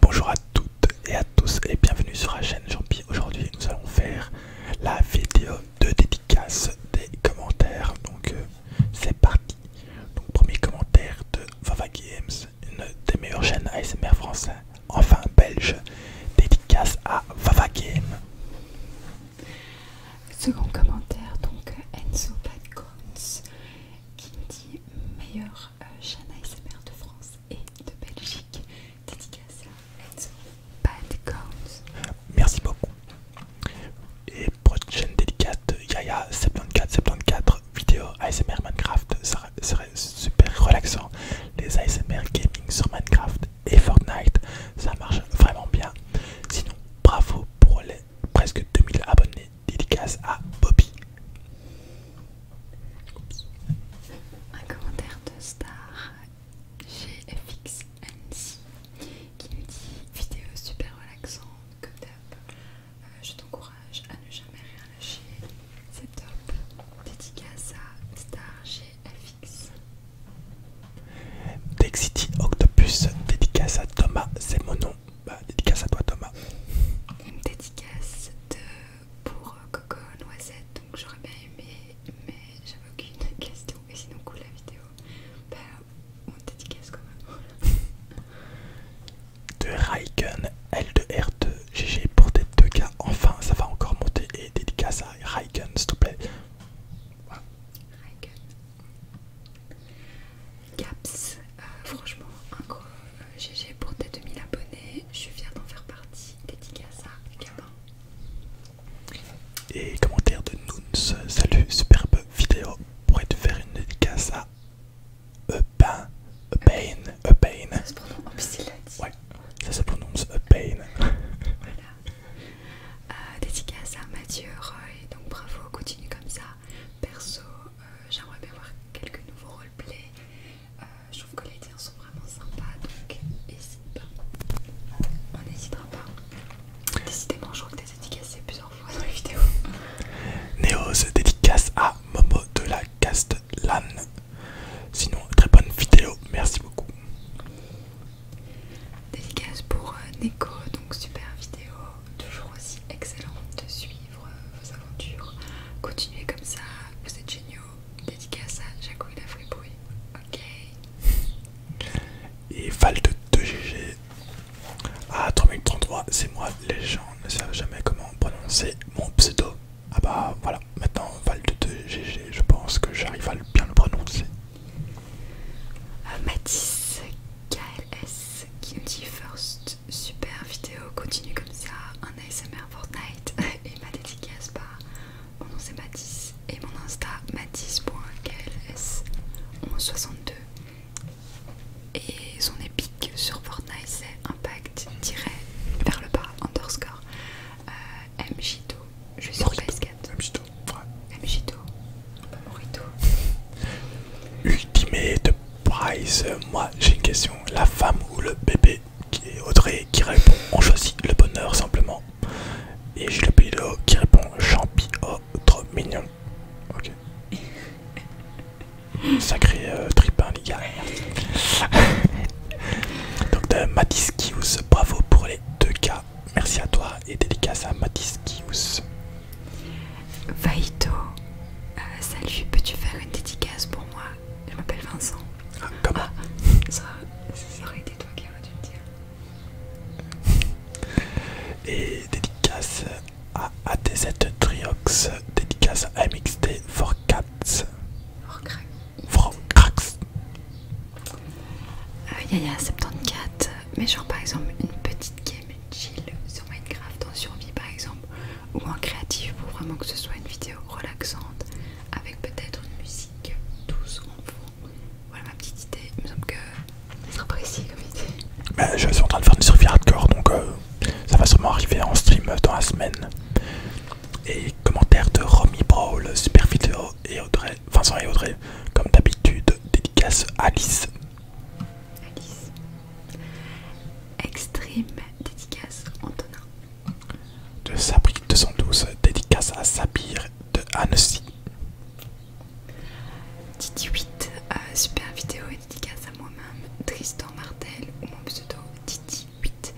Bonjour à toutes et à tous et bienvenue sur la chaîne jean Aujourd'hui nous allons faire la vidéo de dédicace des commentaires. Donc euh, c'est parti. Donc premier commentaire de Vava Games, une des meilleures chaînes ASMR français, enfin belge, dédicace à Vava Games Second commentaire donc Enzo qui dit meilleur chaîne euh, ASMR de France et de Belgique, dédicace à Bad Merci beaucoup. Et prochaine délicate, Yaya7474, vidéo ASMR Minecraft, ça serait super relaxant. Les ASMR gaming sur Minecraft et Fortnite, ça marche vraiment bien. Sinon, bravo pour les presque 2000 abonnés dédicace à Bobby. Un commentaire de Star GFXNC qui nous dit vidéo super relaxante, que up euh, je t'encourage à ne jamais rien lâcher, c'est top. Dédicace à Star GFX. Dexity Octopus, dédicace à Thomas c'est mon nom bah, dédicace à toi, Thomas. Une dédicace de, pour euh, Coco Noisette, donc j'aurais bien aimé, mais j'avais aucune question. Et sinon, cool la vidéo. Bah, on dédicace quand même. de Raiken L2R2, GG pour tes deux cas. Enfin, ça va encore monter. Et dédicace à Raiken, s'il te plaît. Raiken. Gaps, euh, franchement, un gros GG euh, pour tes 2000 abonnés. Je viens d'en faire partie. Dédicace à Gabin. Et commentaire de Nouns, salut, superbe vidéo. Pourrais-tu faire une dédicace à Epain Epain Epain Ça se prononce, en Ouais, ça se prononce pain. voilà. Euh, dédicace à Mathieu Roy, donc bravo, continue comme ça. Perso, euh, j'aimerais bien voir quelques nouveaux roleplays. Euh, je trouve que les tiens sont vraiment sympas, donc n'hésite pas. On n'hésitera pas. Décidément, je crois que t'es dédicacé plusieurs fois dans les vidéos. Néo se dédicace à Momo de la Castellane. Sinon, très bonne vidéo, merci beaucoup. Dédicace pour euh, Neko, donc super vidéo toujours aussi excellent de suivre vos aventures. Continuez comme ça, vous êtes géniaux. Dédié à ça, Jacouille la Fribouille. Ok. Et Val de 2GG. Ah, 3033, c'est moi, les gens ne savent jamais comment prononcer mon pseudo. Ah bah voilà, maintenant Val de 2GG, je pense que j'arrive à bien le prononcer. Euh, Mathis KLS qui nous dit First, super vidéo, continue comme ça, un ASMR Fortnite et ma dédicace par bah, mon nom c'est Mathis et mon Insta mathis.kls1162 et son épique sur Fortnite c'est impact vers le bas underscore euh, mjito je suis sur ps Ultimate Prize. Moi, j'ai une question. La femme ou le bébé qui est Audrey qui répond on choisit le bonheur simplement. Et j'ai le pilote qui répond champi, oh, trop mignon. Ok. Sacré euh, tripin, hein, les gars. Donc, de bravo pour les deux cas. Merci à toi et dédicace à Matis Vaito, euh, salut, peux-tu faire une dédicace pour moi Je m'appelle Vincent. Ah, comment ah, ça, ça aurait été toi qui aurais dû dire. Et dédicace à ATZ Triox, dédicace à MXT for Cats. For Crax. For Crax. Euh, Yaya74, mais genre par exemple une petite game chill sur Minecraft en survie par exemple ou en créatif pour vraiment que ce soit une vidéo relaxante avec peut-être une musique douce en fond. Voilà ma petite idée, il me semble que ça sera précis comme idée. Bah, je suis en train de faire une survie hardcore donc euh, ça va sûrement arriver en stream dans la semaine. Et commentaire de Romy Brawl, super vidéo et autres Vincent et Audrey, comme d'habitude, dédicace Alice. Alice. Extreme, dédicace Antonin. De sabri 212, dédicace à Sabir de Annecy. didi 8, euh, super vidéo et dédicace à moi-même, Tristan Martel ou mon pseudo didi 8.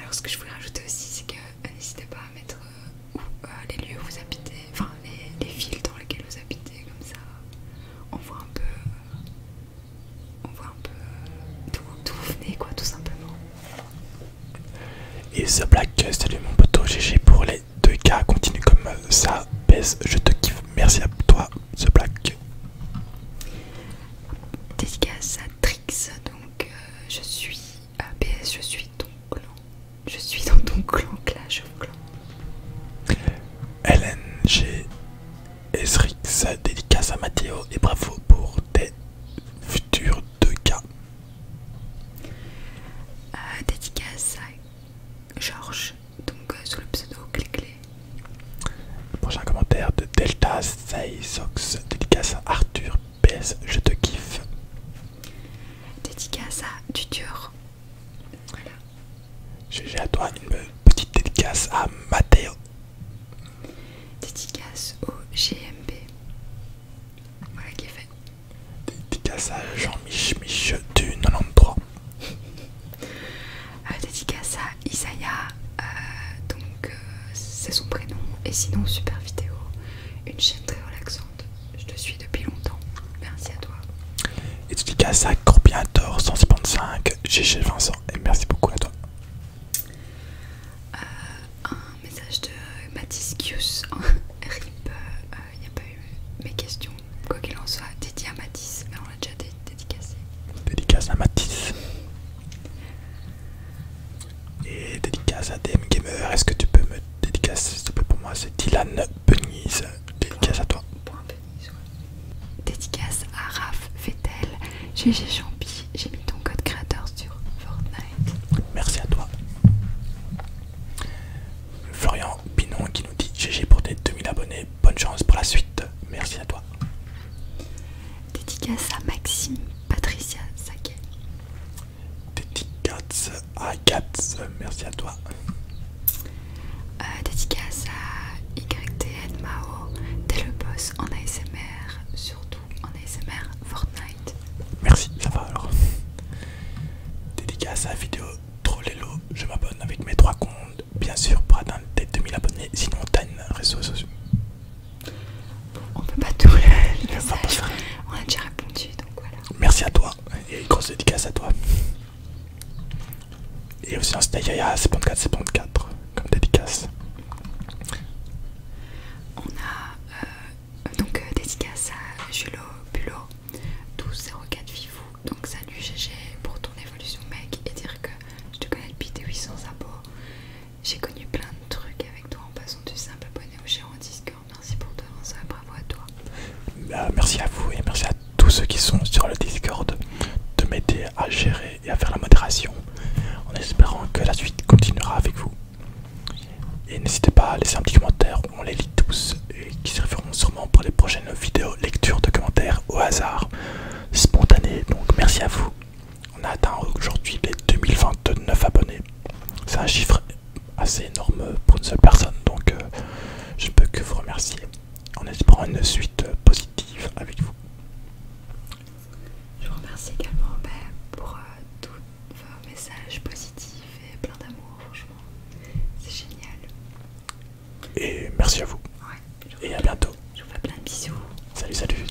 Alors ce que je voulais rajouter aussi, c'est que euh, n'hésitez pas à mettre euh, euh, les lieux où vous habitez, enfin les, villes dans lesquelles vous habitez, comme ça on voit un peu, on voit un peu euh, d'où vous venez quoi, tout simplement. Et The Black, salut mon poteau, GG pour les deux cas continue comme ça, baisse, je te kiffe, merci à toi The Black. Dédicace à Trix, donc euh, je suis ABS, je suis ton clan. Je suis dans ton clan, Clash of clan. LNG, Esrix, dédicace à Mathéo et bravo pour tes futurs deux cas. Euh, dédicace à Georges, donc sous le pseudo Clé-Clé. Prochain commentaire de Delta Sox dédicace à Arthur PS, je te kiffe. Dédicace à Dutur. Voilà. J'ai à toi une petite dédicace à Mathéo. Dédicace au GMB. Voilà qui est fait. Dédicace à Jean-Mich du 93. Euh, dédicace à Isaiah. Euh, donc euh, c'est son prénom. Et sinon super vidéo. Une chaîne très relaxante je te suis depuis longtemps. Merci à toi. Et tu dis qu'à ça, Corbiator 155, GG Vincent, et merci beaucoup à toi. Euh, un message de Matisse Kius, RIP, euh, il n'y a pas eu mes questions. Quoi qu'il en soit, dédié à Matisse, mais on l'a déjà dédié dédicacé. Dédicace à Matisse et dédicace à DM Gamer, est-ce que tu peux me dédicacer s'il te plaît pour moi C'est Dylan Benise, dédicace à toi. Dédicace à Raph Vettel, GG Champi, j'ai mis ton code créateur sur Fortnite. Merci à toi. Florian Pinon qui nous dit GG pour tes 2000 abonnés, bonne chance pour la suite, merci à toi. Dédicace à Maxime Patricia Saké. Dédicace à Katz, merci à toi. Euh, dédicace à YTN Mao, t'es le boss en ASMR, surtout en ASMR Fortnite. Merci, ça va alors. Dédicace à la vidéo Trollelo, je m'abonne avec mes trois comptes, bien sûr pour atteindre des 2000 abonnés, sinon t'as une réseau on peut pas tout on a déjà répondu donc voilà. Merci à toi et grosse dédicace à toi. Et aussi un Yaya 74 74 comme dédicace. On a euh, donc euh, dédicace à Julo Bulo 1204 Vivou. Donc salut GG pour ton évolution mec et dire que je te connais depuis tes 800 abos. J'ai connu plein de trucs avec toi en passant du simple abonné au gérant Discord. Merci pour toi, bravo à toi. Bah, merci à vous et merci à tous ceux qui sont sur le Discord de m'aider à gérer et à faire la modération en espérant que la suite continuera avec vous. Et n'hésitez pas à laisser un petit commentaire, on les lit tous et qui serviront sûrement pour les prochaines vidéos, lecture de commentaires au hasard, spontané. Donc merci à vous on a atteint aujourd'hui les 2029 abonnés. C'est un chiffre assez énorme pour une seule personne, donc euh, je ne peux que vous remercier en espérant une suite positive avec vous. Je vous remercie également ben, pour euh, tous vos messages positifs et plein d'amour, franchement. C'est génial. Et merci à vous. et à bientôt. Je vous fais plein de bisous. Salut, salut.